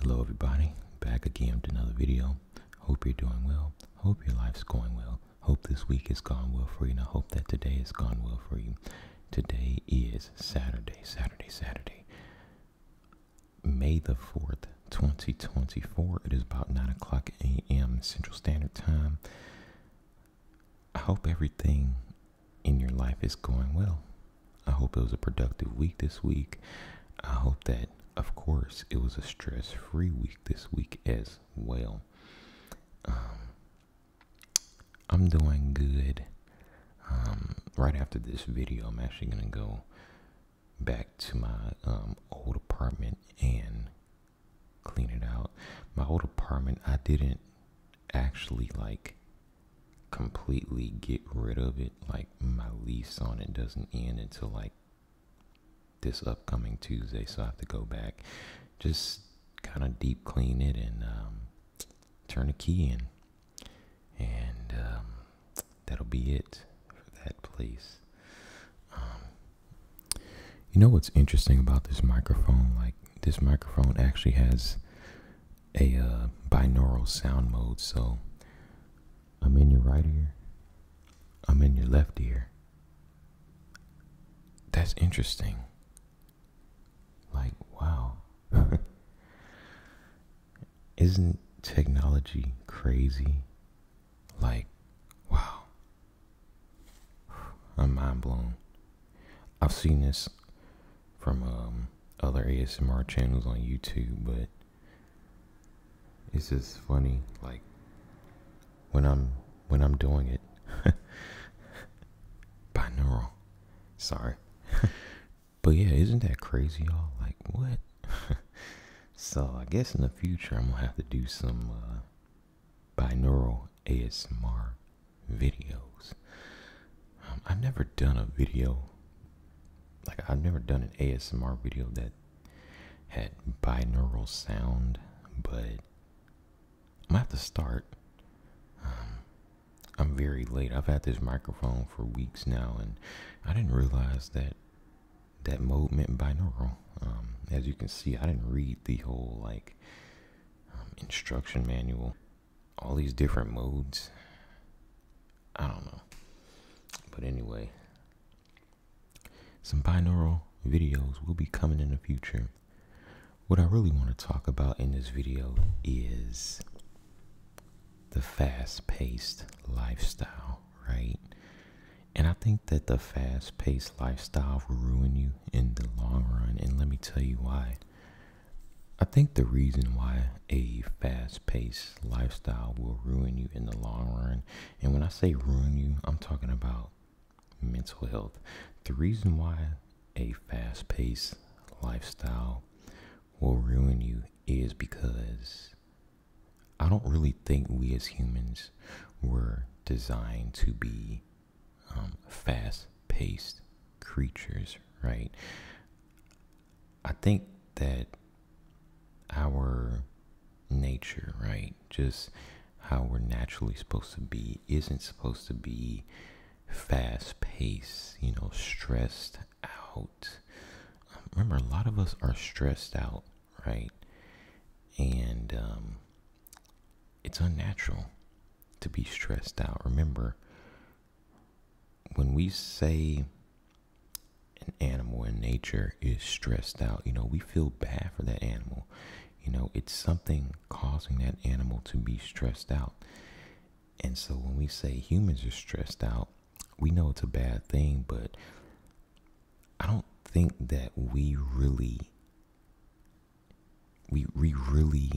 Hello everybody, back again with another video. Hope you're doing well. Hope your life's going well. Hope this week has gone well for you and I hope that today has gone well for you. Today is Saturday, Saturday, Saturday. May the 4th, 2024. It is about 9 o'clock a.m. Central Standard Time. I hope everything in your life is going well. I hope it was a productive week this week. I hope that, of course, it was a stress free week this week as well. Um, I'm doing good. Um, right after this video, I'm actually going to go back to my um, old apartment and clean it out. My old apartment, I didn't actually like completely get rid of it. Like my lease on it doesn't end until like this upcoming Tuesday, so I have to go back, just kind of deep clean it and um, turn the key in, and um, that'll be it for that place. Um, you know what's interesting about this microphone? Like this microphone actually has a uh, binaural sound mode. So I'm in your right ear, I'm in your left ear. That's interesting. Like, wow. Isn't technology crazy? Like, wow. I'm mind blown. I've seen this from um, other ASMR channels on YouTube, but it's just funny. Like when I'm when I'm doing it, binaural. Sorry, but yeah, isn't that crazy, y'all? Like what? so I guess in the future I'm gonna have to do some uh, binaural ASMR videos. Um, I've never done a video like I've never done an ASMR video that had binaural sound, but I'm gonna have to start. Um, I'm very late. I've had this microphone for weeks now, and I didn't realize that that mode meant binaural. Um, as you can see, I didn't read the whole like instruction manual all these different modes. I don't know. But anyway, some binaural videos will be coming in the future. What I really want to talk about in this video is the fast paced lifestyle, right? And I think that the fast paced lifestyle will ruin you in the long run. And let me tell you why. I think the reason why a fast paced lifestyle will ruin you in the long run, and when I say ruin you, I'm talking about mental health. The reason why a fast paced lifestyle will ruin you is because I don't really think we as humans were designed to be um, fast paced creatures, right? I think that our nature, right? Just how we're naturally supposed to be isn't supposed to be fast paced, you know, stressed out. Um, remember, a lot of us are stressed out, right? And um, it's unnatural to be stressed out. Remember, when we say an animal in nature is stressed out, you know, we feel bad for that animal. You know, it's something causing that animal to be stressed out. And so when we say humans are stressed out, we know it's a bad thing, but I don't think that we really we we really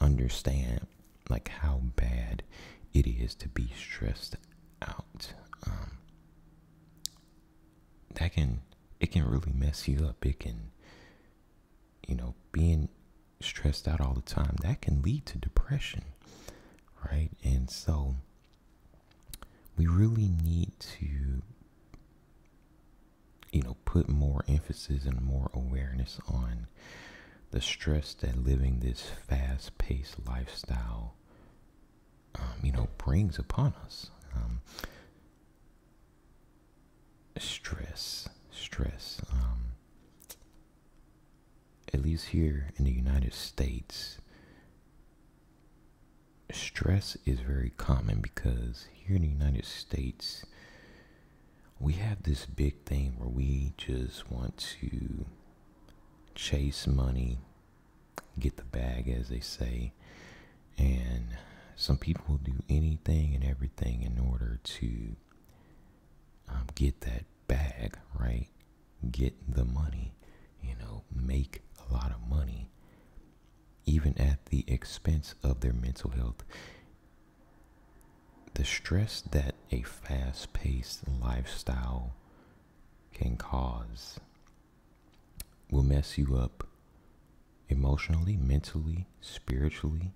understand like how bad it is to be stressed out. Um, that can it can really mess you up. It can, you know, being stressed out all the time that can lead to depression, right? And so we really need to you know put more emphasis and more awareness on the stress that living this fast-paced lifestyle, um, you know, brings upon us. Um, stress, stress. Um, at least here in the United States, stress is very common because here in the United States, we have this big thing where we just want to chase money, get the bag, as they say. And some people will do anything and everything in order to um, get that bag, right? Get the money, you know, make a lot of money, even at the expense of their mental health the stress that a fast paced lifestyle can cause will mess you up emotionally, mentally, spiritually,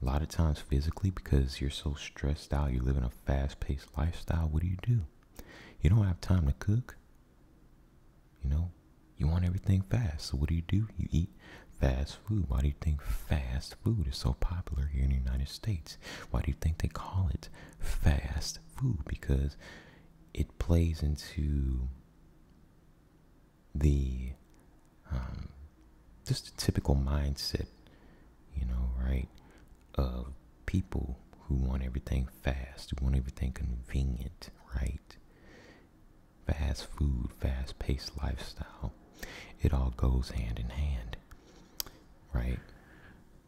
a lot of times physically because you're so stressed out, you're living a fast paced lifestyle. What do you do? You don't have time to cook. You know, you want everything fast. So what do you do? You eat fast food. Why do you think fast food is so popular here in the United States? Why do you think they call it fast food? Because it plays into the um, just the typical mindset, you know, right, of people who want everything fast, who want everything convenient, right? Fast food, fast paced lifestyle. It all goes hand in hand right?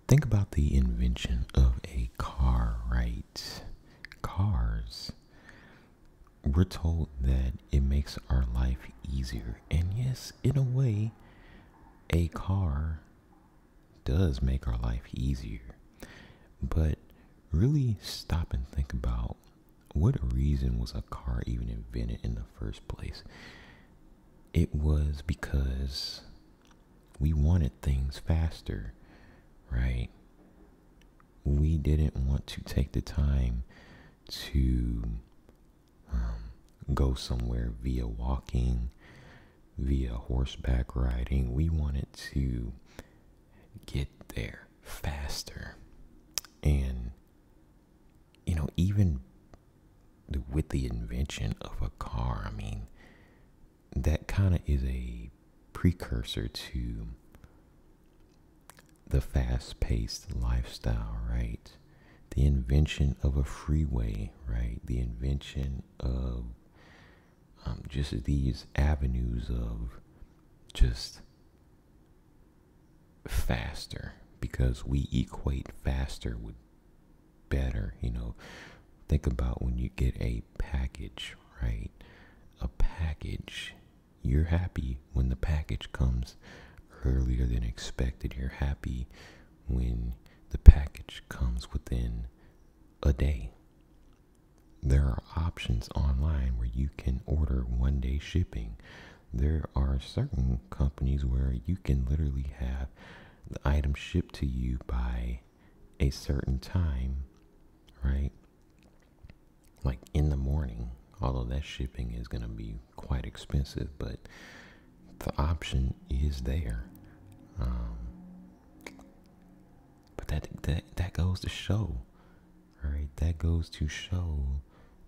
Think about the invention of a car, right? Cars. We're told that it makes our life easier. And yes, in a way, a car does make our life easier. But really stop and think about what reason was a car even invented in the first place? it was because we wanted things faster, right? We didn't want to take the time to um, go somewhere via walking, via horseback riding. We wanted to get there faster. And you know, even with the invention of a car, I mean, that kind of is a precursor to the fast paced lifestyle, right? The invention of a freeway, right? The invention of um, just these avenues of just faster because we equate faster with better. You know, think about when you get a package, right? A package, you're happy when the package comes earlier than expected. You're happy when the package comes within a day. There are options online where you can order one day shipping there are certain companies where you can literally have the item shipped to you by a certain time, right? Like in the morning, although that shipping is going to be quite expensive, but the option is there. Um, but that, that, that goes to show, right? That goes to show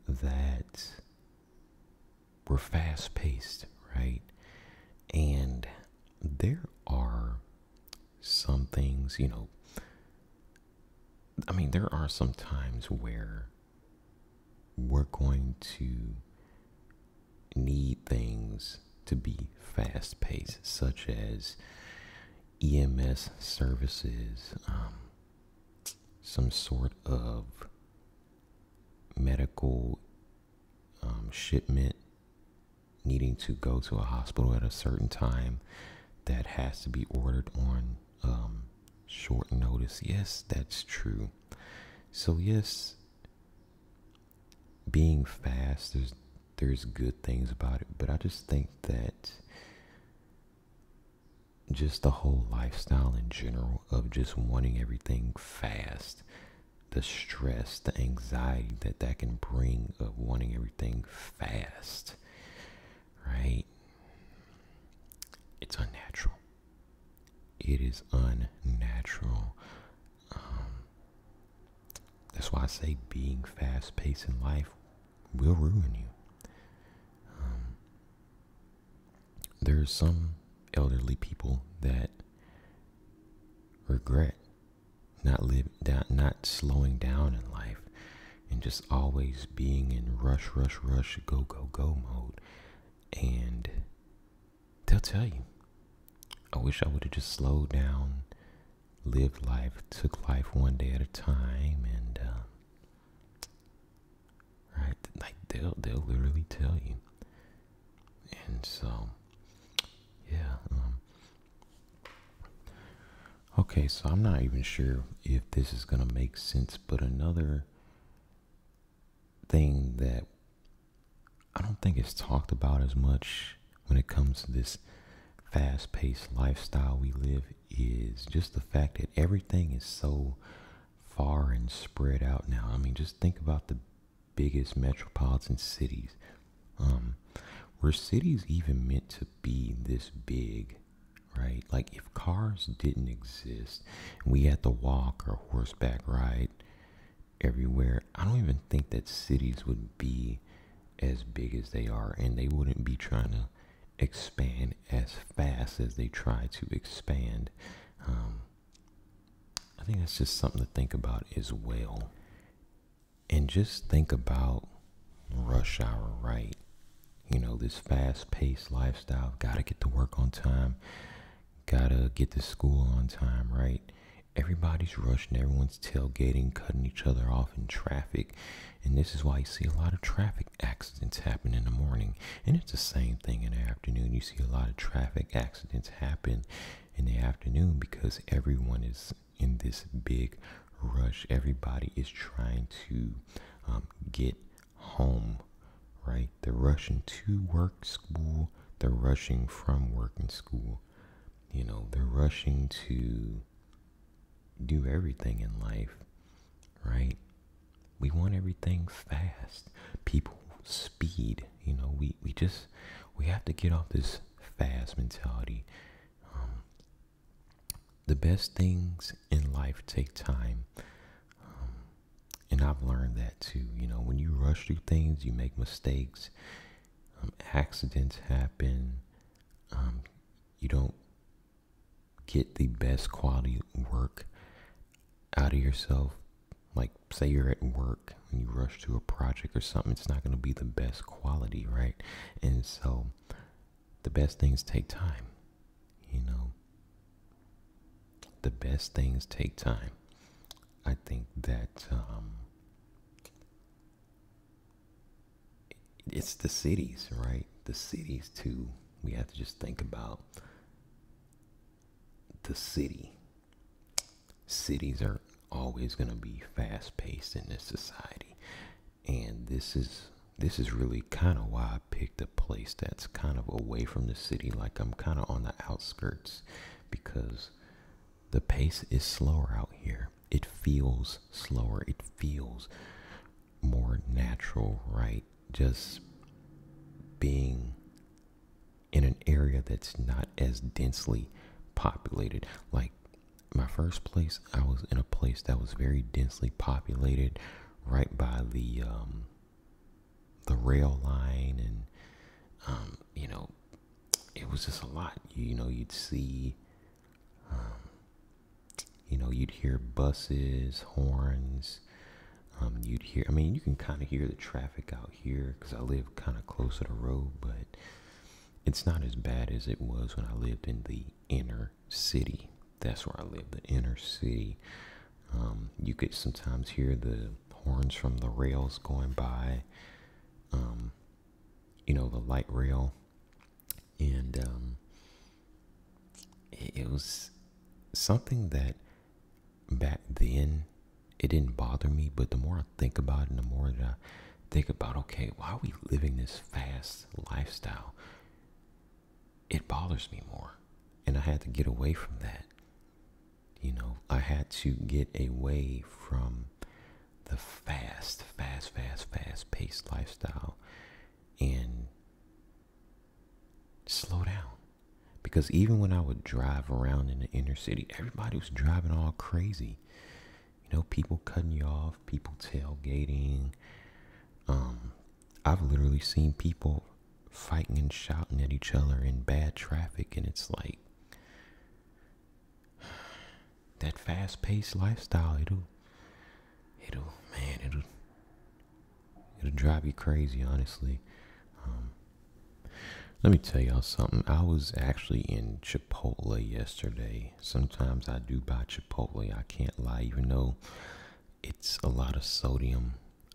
that we're fast paced, right? And there are some things, you know, I mean, there are some times where we're going to need things to be fast paced, such as EMS services, um, some sort of medical um, shipment needing to go to a hospital at a certain time that has to be ordered on um, short notice. Yes, that's true. So, yes, being fast, there's, there's good things about it, but I just think that just the whole lifestyle in general of just wanting everything fast the stress the anxiety that that can bring of wanting everything fast right it's unnatural it is unnatural um, that's why i say being fast-paced in life will ruin you um, there are some elderly people that regret not live not slowing down in life and just always being in rush rush rush go go go mode and they'll tell you i wish i would have just slowed down lived life took life one day at a time and uh, right? Like they'll they'll literally tell you. And so, yeah. Um, okay, so I'm not even sure if this is gonna make sense, but another thing that I don't think is talked about as much when it comes to this fast-paced lifestyle we live is just the fact that everything is so far and spread out now. I mean, just think about the biggest metropolitan cities. Um, were cities even meant to be this big, right? Like, if cars didn't exist and we had to walk or horseback ride everywhere, I don't even think that cities would be as big as they are and they wouldn't be trying to expand as fast as they try to expand. Um, I think that's just something to think about as well. And just think about rush hour, right? You know, this fast paced lifestyle. Gotta get to work on time. Gotta get to school on time, right? Everybody's rushing, everyone's tailgating, cutting each other off in traffic. And this is why you see a lot of traffic accidents happen in the morning and it's the same thing in the afternoon. You see a lot of traffic accidents happen in the afternoon because everyone is in this big rush. Everybody is trying to um, get home, right? They're rushing to work, school. They're rushing from work and school. You know, they're rushing to do everything in life, right? We want everything fast. People speed. You know, we, we just we have to get off this fast mentality. Um, the best things in life take time. Um, and I've learned that too. You know, when you rush through things, you make mistakes. Um, accidents happen. you don't get the best quality work out of yourself like say you're at work and you rush to a project or something it's not going to be the best quality right and so the best things take time you know the best things take time i think that um it's the cities right the cities too we have to just think about the city. Cities are always going to be fast paced in this society. And this is this is really kind of why I picked a place that's kind of away from the city like I'm kind of on the outskirts because the pace is slower out here. It feels slower. It feels more natural, right? Just being in an area that's not as densely populated. Like my first place, I was in a place that was very densely populated, right by the um, the rail line, and um, you know, it was just a lot. You, know, you'd see, um, you know, you'd hear buses, horns, um, you'd hear, I mean, you can kind of hear the traffic out here because I live kind of close to the road, but it's not as bad as it was when I lived in the inner city. That's where I live, the inner city. Um, you could sometimes hear the horns from the rails going by, um, you know, the light rail. And it was something that back then it didn't bother me but the more i think about it the more i think about okay why are we living this fast lifestyle it bothers me more and i had to get away from that you know i had to get away from the fast fast fast fast paced lifestyle and slow down because even when I would drive around in the inner city, everybody was driving all crazy. You know, people cutting you off, people tailgating. Um, I've literally seen people fighting and shouting at each other in bad traffic, and it's like that fast-paced lifestyle. It'll, it'll, man, it'll It'll drive you crazy, honestly. Um, let me tell y'all something. I was actually in Chipotle yesterday. Sometimes I do buy Chipotle. I can't lie, you know, it's a lot of sodium.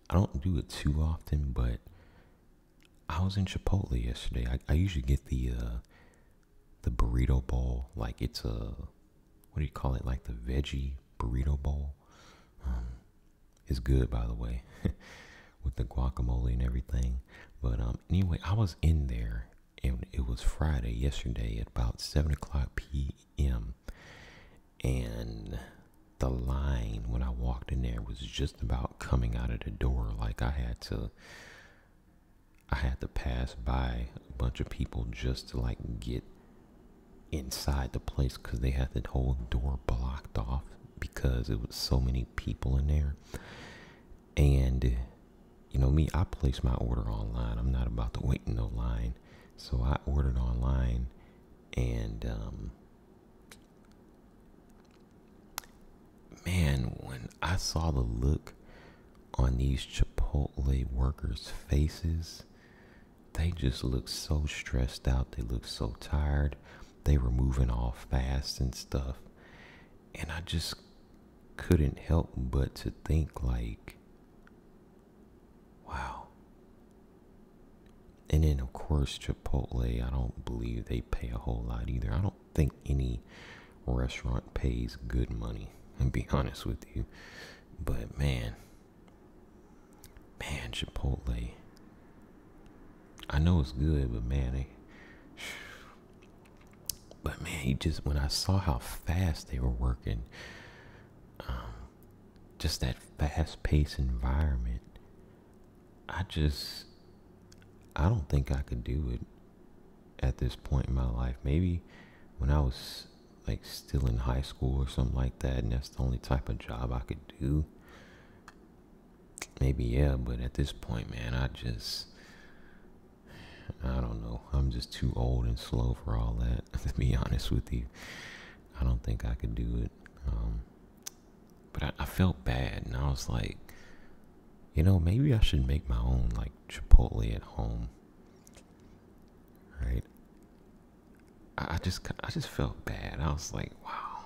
I don't do it too often, but I was in Chipotle yesterday. I, usually get the uh, the burrito bowl. Like it's a what do you call it? Like the veggie burrito bowl. Um, it's good, by the way, with the guacamole and everything. But um, anyway, I was in there, and it was Friday yesterday at about seven o'clock p.m. And the line when I walked in there was just about coming out of the door. Like I had to, I had to pass by a bunch of people just to like get inside the place because they had the whole door blocked off because it was so many people in there. And you know me, I placed my order online. I'm not about to wait in no line. So I ordered online and um man, when I saw the look on these Chipotle workers' faces, they just looked so stressed out. They looked so tired. They were moving all fast and stuff. And I just couldn't help but to think, like, wow. And then, of course, Chipotle, I don't believe they pay a whole lot either. I don't think any restaurant pays good money, and be honest with you. But man, Man, Chipotle. I know it's good, but man, but man, he just when I saw how fast they were working, um, just that fast-paced environment. I just, I don't think I could do it at this point in my life. Maybe when I was like still in high school or something like that, and that's the only type of job I could do maybe yeah but at this point man i just i don't know i'm just too old and slow for all that to be honest with you i don't think i could do it um, but I, I felt bad and i was like you know maybe i should make my own like chipotle at home right I, just I just felt bad. I was like, wow.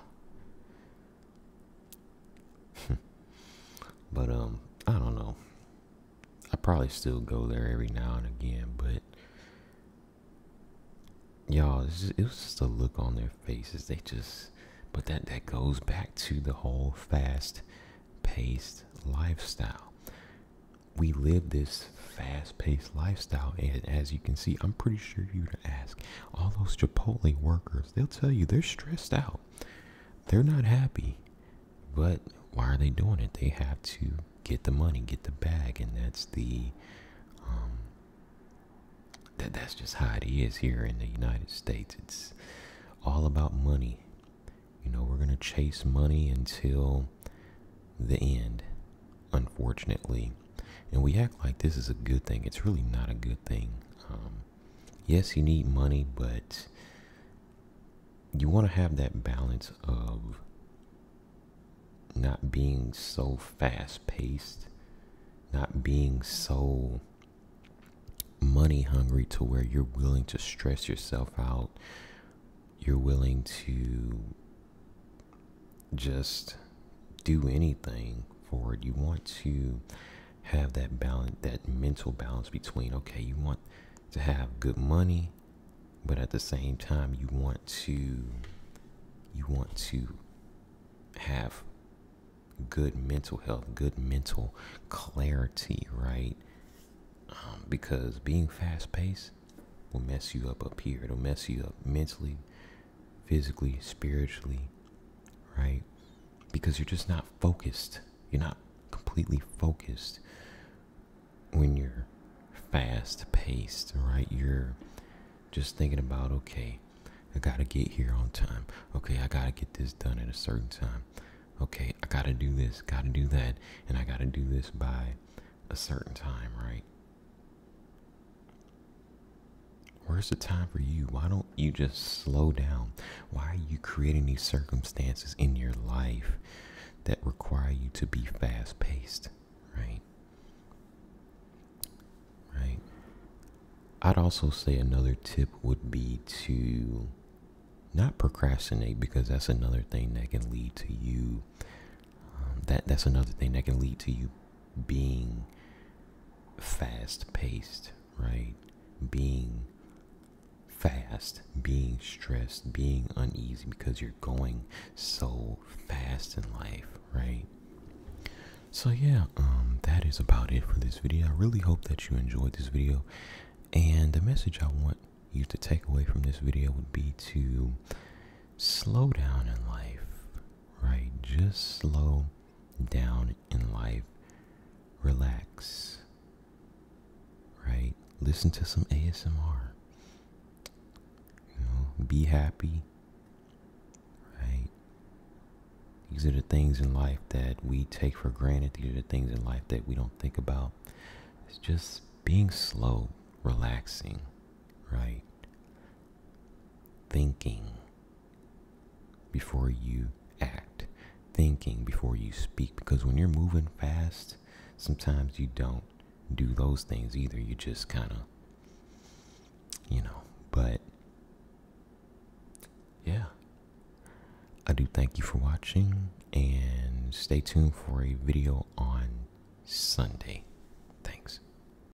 but um, I don't know. I probably still go there every now and again, but y'all, it was just a look on their faces. They just, but that that goes back to the whole fast-paced lifestyle. We live this fast fast-paced lifestyle and as you can see i'm pretty sure you would ask all those chipotle workers they'll tell you they're stressed out they're not happy but why are they doing it they have to get the money get the bag and that's the um, that that's just how it is here in the united states it's all about money you know we're going to chase money until the end unfortunately. And we act like this is a good thing. It's really not a good thing. Um, yes, you need money, but you want to have that balance of not being so fast paced, not being so money hungry to where you're willing to stress yourself out, you're willing to just do anything for it. You want to have that balance, that mental balance between, okay, you want to have good money, but at the same time, you want to, you want to have good mental health, good mental clarity, right? Um, because being fast paced will mess you up up here. It'll mess you up mentally, physically, spiritually, right? Because you're just not focused. You're not completely focused when you're fast paced, right? You're just thinking about, okay, I gotta get here on time. Okay, I gotta get this done at a certain time. Okay, I gotta do this, gotta do that, and I gotta do this by a certain time, right? Where's the time for you? Why don't you just slow down? Why are you creating these circumstances in your life that require you to be fast paced? Right? Right? I'd also say another tip would be to not procrastinate because that's another thing that can lead to you. Um, that that's another thing that can lead to you being fast paced, right? Being fast, being stressed, being uneasy because you're going so fast in life, right? So yeah, um, that is about it for this video. I really hope that you enjoyed this video. And the message I want you to take away from this video would be to slow down in life, right? Just slow down in life. Relax, right? Listen to some ASMR. You know, be happy, right? These are the things in life that we take for granted. These are the things in life that we don't think about. It's just being slow, relaxing, right? Thinking before you act, thinking before you speak. Because when you're moving fast, sometimes you don't do those things either. You just kind of, you know, but yeah. I do thank you for watching and stay tuned for a video on Sunday. Thanks.